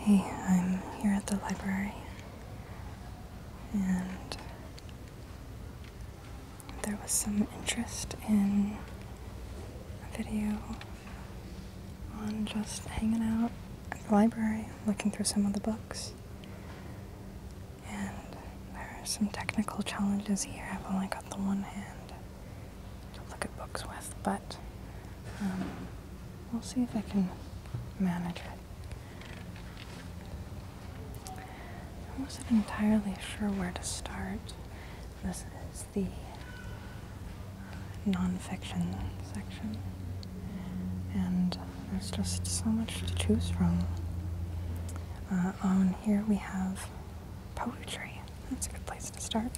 Hey, I'm here at the library, and there was some interest in a video on just hanging out at the library, looking through some of the books. And there are some technical challenges here. I've only got the one hand, look at books with, but um, we'll see if I can manage it. I wasn't entirely sure where to start. This is the uh, nonfiction section, and there's just so much to choose from. Uh, on here we have Poetry. That's a good place to start.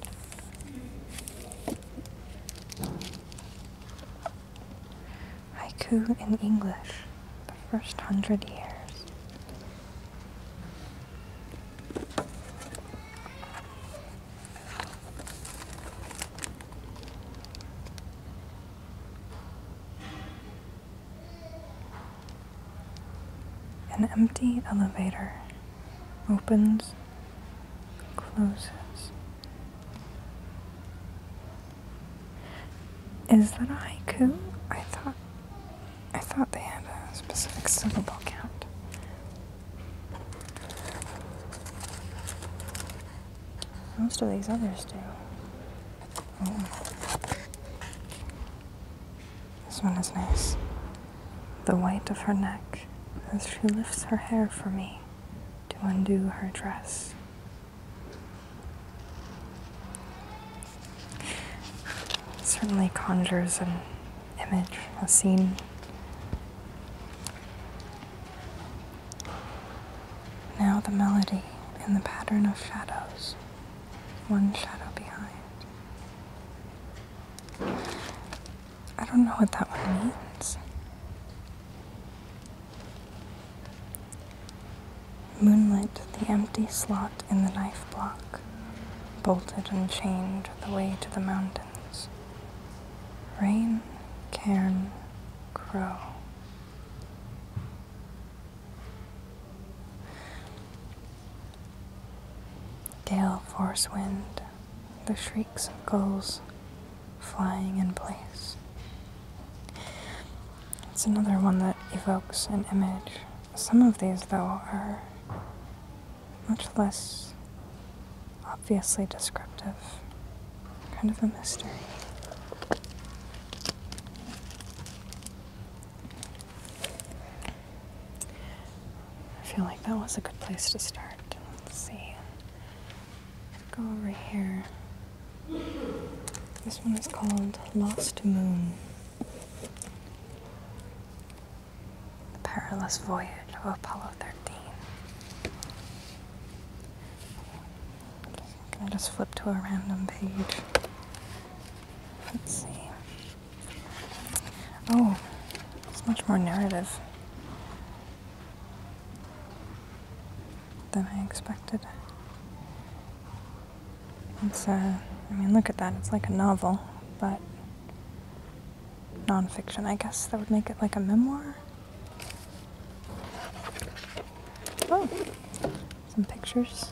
Haiku in English. The first hundred years. An empty elevator opens, closes. Is that a haiku? I thought I thought they had a specific syllable count. Most of these others do. Oh. This one is nice. The white of her neck as she lifts her hair for me to undo her dress. certainly conjures an image, a scene. Now the melody and the pattern of shadows, one shadow behind. I don't know what that one means. Moonlit, the empty slot in the knife block, bolted and chained the way to the mountains. Rain, cairn, crow. Gale force wind, the shrieks of gulls flying in place. It's another one that evokes an image. Some of these, though, are much less obviously descriptive, kind of a mystery. I feel like that was a good place to start. Let's see. Let's go over here. This one is called Lost Moon. The Perilous Voyage of Apollo 13. Can I just flip to a random page? Let's see. Oh, it's much more narrative than I expected. It's, uh, I mean, look at that. It's like a novel, but nonfiction, I guess. That would make it like a memoir. Oh, some pictures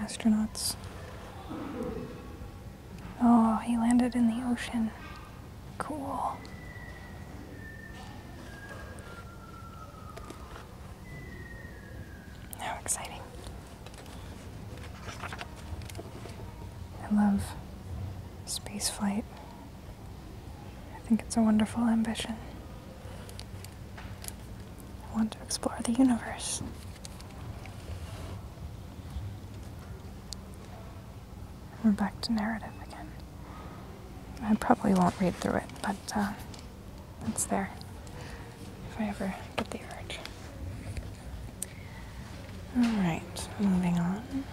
astronauts. Oh, he landed in the ocean. Cool. How exciting. I love space flight. I think it's a wonderful ambition. I want to explore the universe. we're back to narrative again. I probably won't read through it, but uh, it's there if I ever get the urge. Alright, moving on.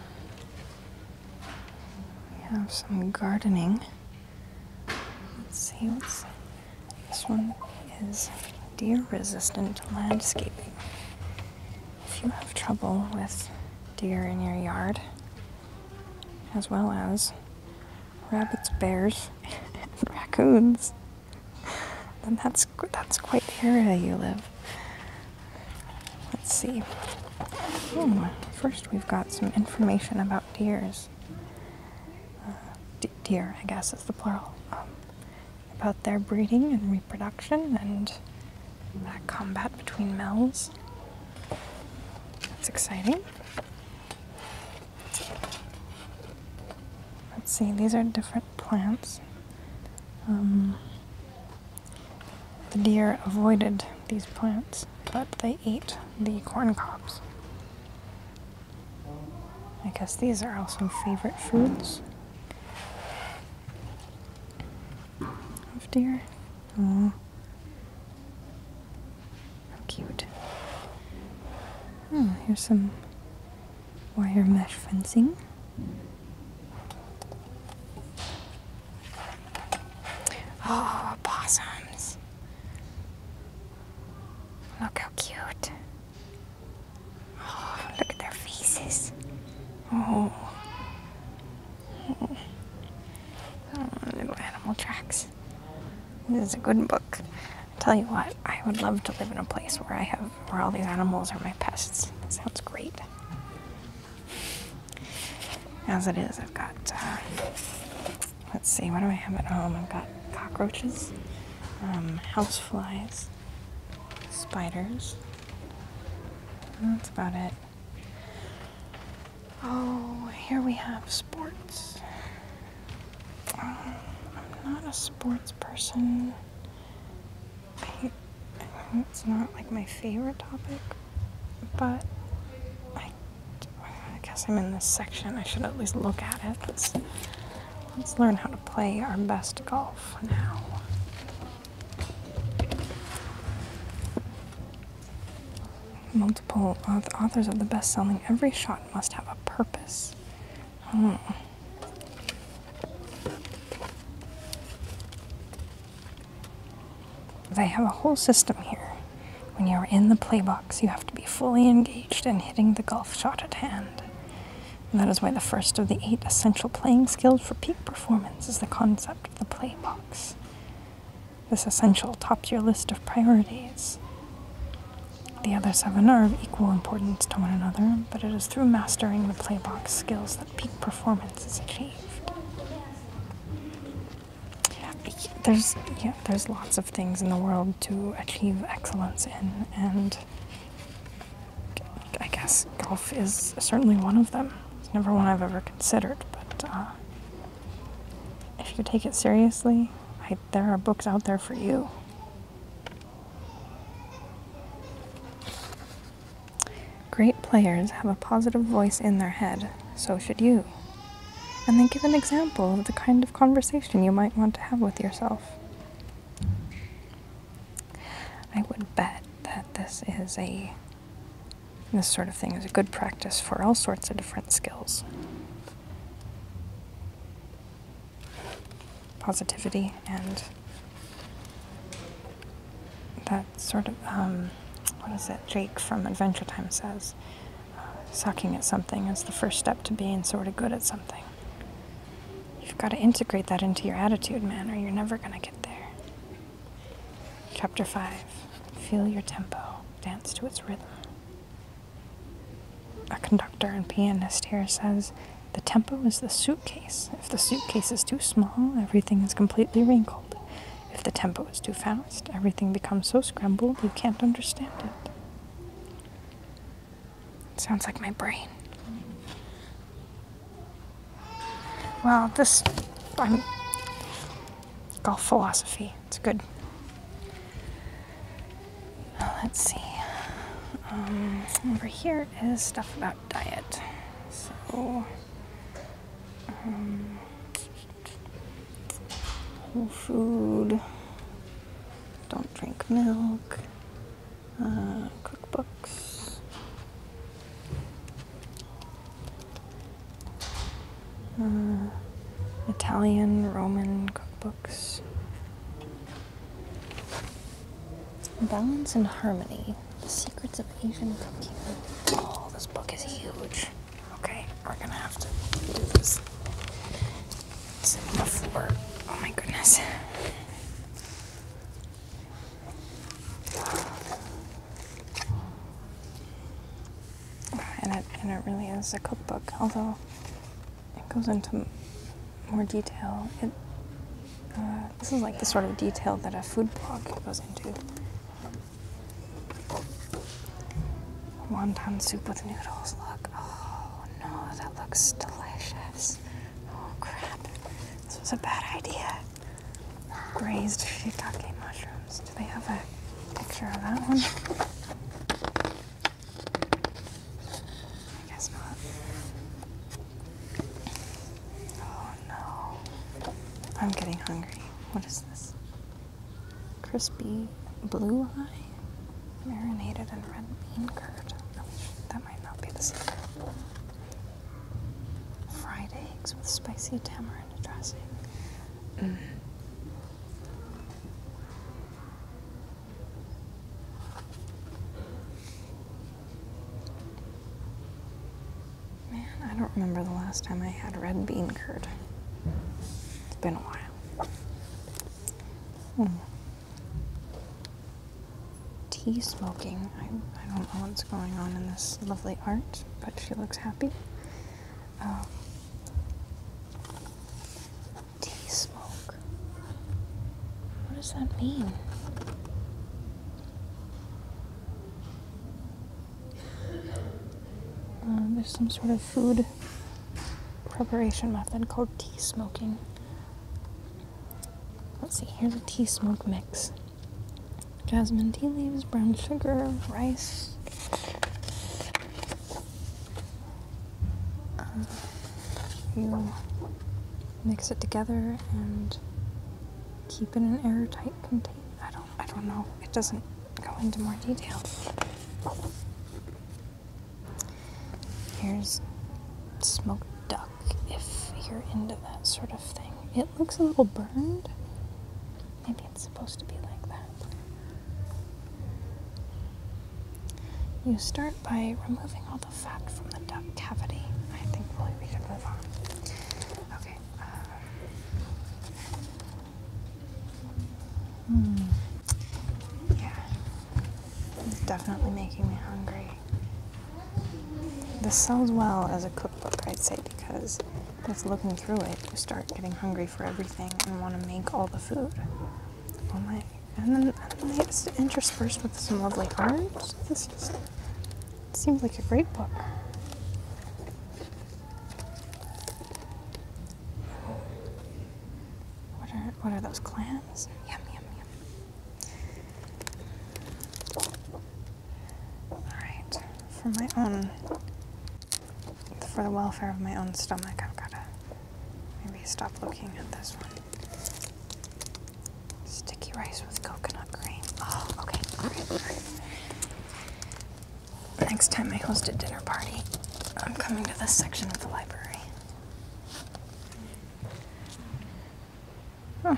We have some gardening. Let's see what's this one is deer resistant landscaping. If you have trouble with deer in your yard, as well as rabbits, bears, and raccoons, then that's that's quite the area you live. Let's see. Hmm, first, we've got some information about deers. Uh, deer, I guess is the plural, um, about their breeding and reproduction and that combat between males. That's exciting. Let's see, these are different plants. Um, the deer avoided these plants, but they ate the corn cobs. I guess these are also favorite foods of deer. Oh, how cute. Oh, here's some wire mesh fencing. Oh, possums. Look how cute. Oh, look at their faces. Oh. oh little animal tracks. This is a good book. tell you what, I would love to live in a place where I have where all these animals are my pests. sounds great. As it is, I've got uh, let's see, what do I have at home? I've got cockroaches, um, houseflies, spiders. That's about it. Oh, here we have sports. Um, I'm not a sports person. it's not like my favorite topic, but I guess I'm in this section. I should at least look at it. Let's, let's learn how to play our best golf now. Multiple authors of the best selling, every shot must have a purpose. Hmm. They have a whole system here. When you're in the play box, you have to be fully engaged in hitting the golf shot at hand. that is why the first of the eight essential playing skills for peak performance is the concept of the play box. This essential tops your list of priorities. The other seven are of equal importance to one another, but it is through mastering the play box skills that peak performance is achieved there's yeah, there's lots of things in the world to achieve excellence in, and I guess golf is certainly one of them. It's never one I've ever considered, but uh, if you take it seriously, there are books out there for you. Great players have a positive voice in their head, so should you and then give an example of the kind of conversation you might want to have with yourself. I would bet that this is a this sort of thing is a good practice for all sorts of different skills. Positivity and that sort of, um, what is it, Jake from Adventure Time says. Uh, sucking at something is the first step to being sort of good at something. You've got to integrate that into your attitude, man, or you're never going to get there. Chapter 5 Feel your tempo, dance to its rhythm. A conductor and pianist here says, the tempo is the suitcase. If the suitcase is too small, everything is completely wrinkled. If the tempo is too fast, everything becomes so scrambled you can't understand it. it sounds like my brain. Well, this, I'm golf philosophy. It's good. Let's see. Um, over here is stuff about diet. So, um, whole food, don't drink milk, uh, cookbooks. Uh, Italian, Roman cookbooks. Balance and harmony. The Secrets of Asian Cooking. Oh, this book is huge. Okay, we're gonna have to do this. It's in the floor. Oh my goodness. And it, and it really is a cookbook, although it goes into more detail. It, uh, this is like the sort of detail that a food blog goes into. Wonton soup with noodles. Look. Oh no, that looks delicious. Oh crap. This was a bad idea. Braised shiitake mushrooms. Do they have a picture of that one? I guess not. Oh, no. I'm getting hungry. What is this? Crispy blue eye? Marinated in red bean curd. that might not be the same. Fried eggs with spicy tamarind dressing. Mm. Man, I don't remember the last time I had red bean curd. It's been a while. Hmm. Tea smoking. I, I don't know what's going on in this lovely art, but she looks happy. Um, tea smoke. What does that mean? Um, there's some sort of food preparation method called tea smoking. Let's see, here's a tea smoke mix jasmine tea leaves, brown sugar, rice. Um, you mix it together and keep it in an airtight container. I don't I don't know. It doesn't go into more detail. Here's smoked duck if you're into that sort of thing. It looks a little burned. Maybe it's supposed to be like that. You start by removing all the fat from the duck cavity. I think we can move on. Okay. Uh, hmm, Yeah. It's definitely making me hungry. This sells well as a cookbook, I'd say, because just looking through it, you start getting hungry for everything and want to make all the food. Oh my. And then, interspersed with some lovely art. This is Seems like a great book. What are, what are those clams? Yum, yum, yum. All right, for my own, for the welfare of my own stomach, I've gotta maybe stop looking at this one. Sticky rice with coconut cream. Oh, okay. Next time I host a dinner party, I'm coming to this section of the library. Oh,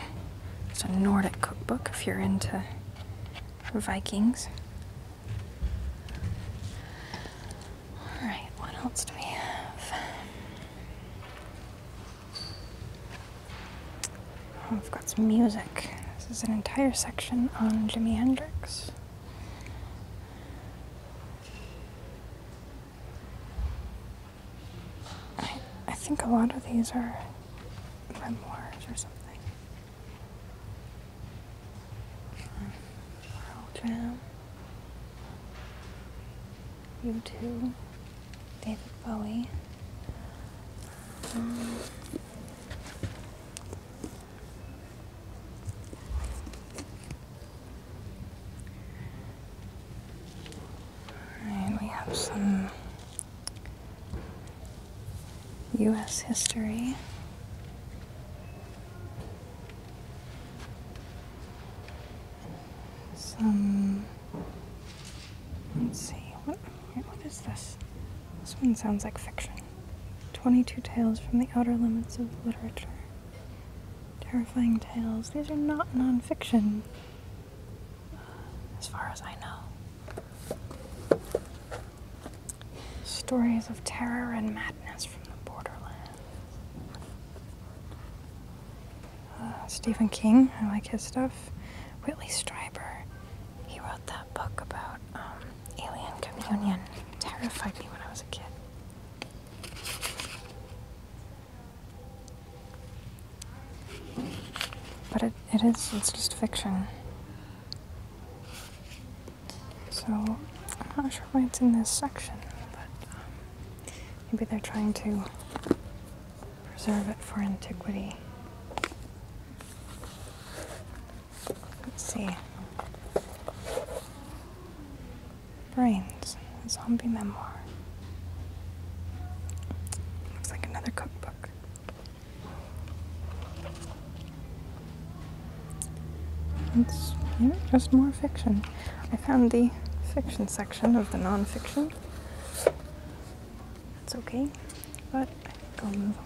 it's a Nordic cookbook if you're into Vikings. All right, what else do we have? Oh, I've got some music. This is an entire section on Jimi Hendrix. I, I think a lot of these are memoirs or something. Um, Pearl Jam you too, David Bowie. Um, Alright, we have some U.S. history some. Let's see. What, what is this? This one sounds like fiction. 22 tales from the outer limits of literature. Terrifying tales. These are not non-fiction. as far as I know. Stories of terror and madness from the borderlands. Stephen King. I like his stuff. Whitley Strieber. He wrote that book about um, alien communion. terrified me when I was a kid. But it, it is, it's just fiction. So, I'm not sure why it's in this section, but um, Maybe they're trying to preserve it for antiquity. Let's see. Brains, zombie memoir. Looks like another cookbook. It's just more fiction. I found the fiction section of the nonfiction. That's okay, but I think I'll move on.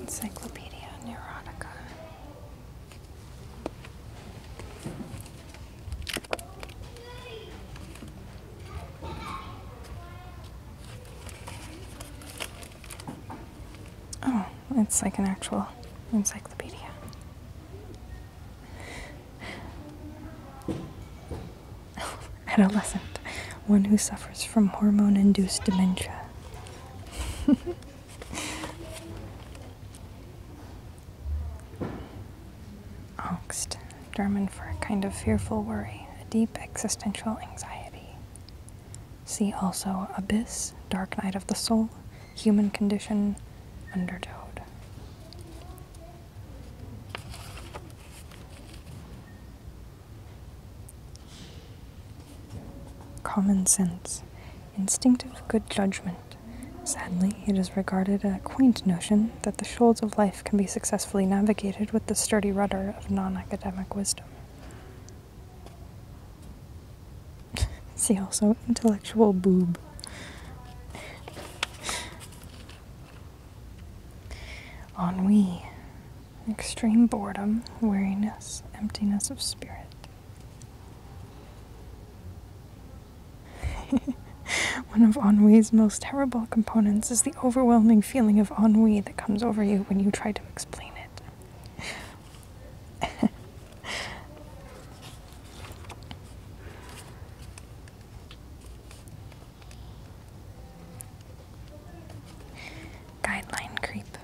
Encyclopedia Neurotica. Oh, it's like an actual encyclopedia. Adolescent, one who suffers from hormone induced dementia. Angst. German for a kind of fearful worry, a deep existential anxiety. See also Abyss, Dark Night of the Soul, Human Condition, undertow. Common sense, instinctive good judgment. Sadly, it is regarded a quaint notion that the shoals of life can be successfully navigated with the sturdy rudder of non academic wisdom. See also intellectual boob. Ennui, extreme boredom, weariness, emptiness of spirit. One of ennui's most terrible components is the overwhelming feeling of ennui that comes over you when you try to explain it. Guideline creep.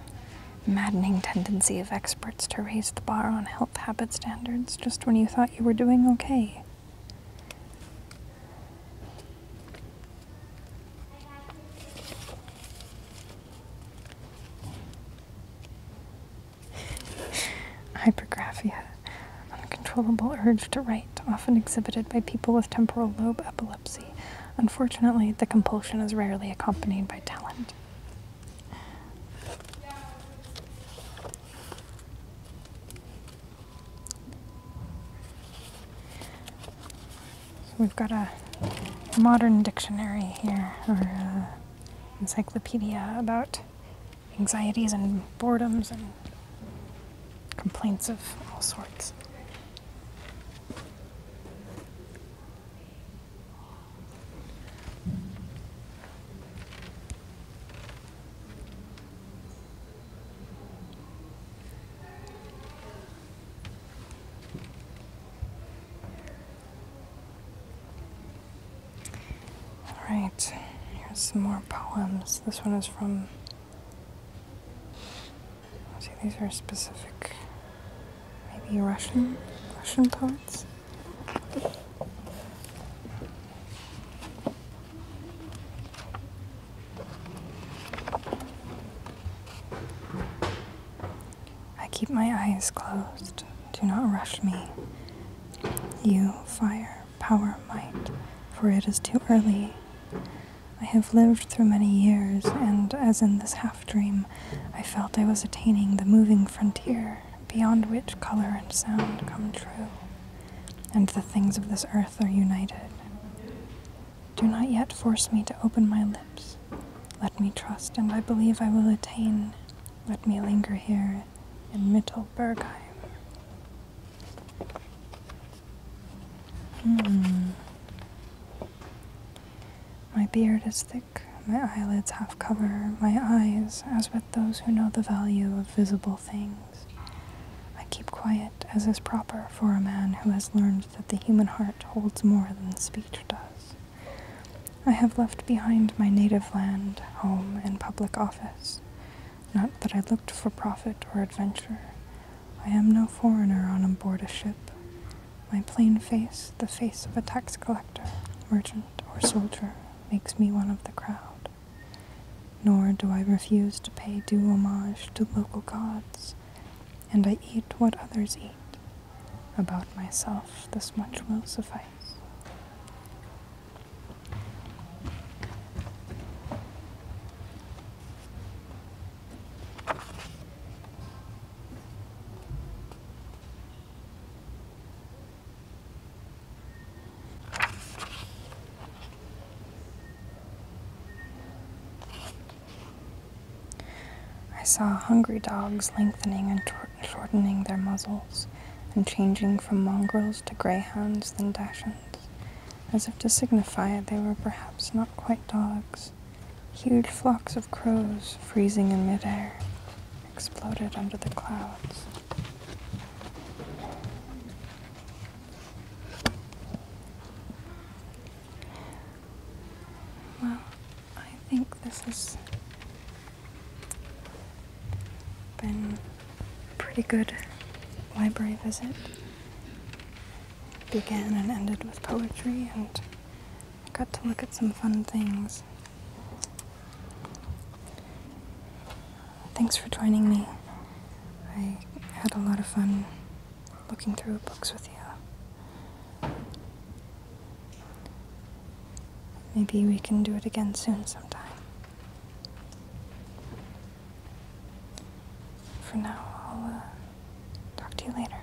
Maddening tendency of experts to raise the bar on health habit standards just when you thought you were doing okay. Hypergraphia, uncontrollable urge to write, often exhibited by people with temporal lobe epilepsy. Unfortunately, the compulsion is rarely accompanied by talent. So we've got a modern dictionary here, or uh, encyclopedia about anxieties and boredoms and complaints of all sorts. Alright, here's some more poems. This one is from. See, these are specific. Maybe Russian? Russian poets? I keep my eyes closed. Do not rush me. You, fire, power, might, for it is too early. I have lived through many years, and as in this half dream, I felt I was attaining the moving frontier beyond which color and sound come true, and the things of this earth are united. Do not yet force me to open my lips. Let me trust, and I believe I will attain. Let me linger here in Mittelbergheim. Hmm. My beard is thick, my eyelids half cover, my eyes, as with those who know the value of visible things. I keep quiet, as is proper for a man who has learned that the human heart holds more than speech does. I have left behind my native land, home, and public office. Not that I looked for profit or adventure. I am no foreigner on board a ship. My plain face, the face of a tax collector, merchant, or soldier, makes me one of the crowd. Nor do I refuse to pay due homage to local gods, and I eat what others eat. About myself, this much will suffice. I saw hungry dogs lengthening and shortening their muzzles and changing from mongrels to greyhounds, then dachshunds, as if to signify they were perhaps not quite dogs. Huge flocks of crows, freezing in midair, exploded under the clouds. Well, I think this has been pretty good library visit. Began and ended with poetry, and got to look at some fun things. Thanks for joining me. I had a lot of fun looking through books with you. Maybe we can do it again soon sometime. For now, I'll uh, talk to you later.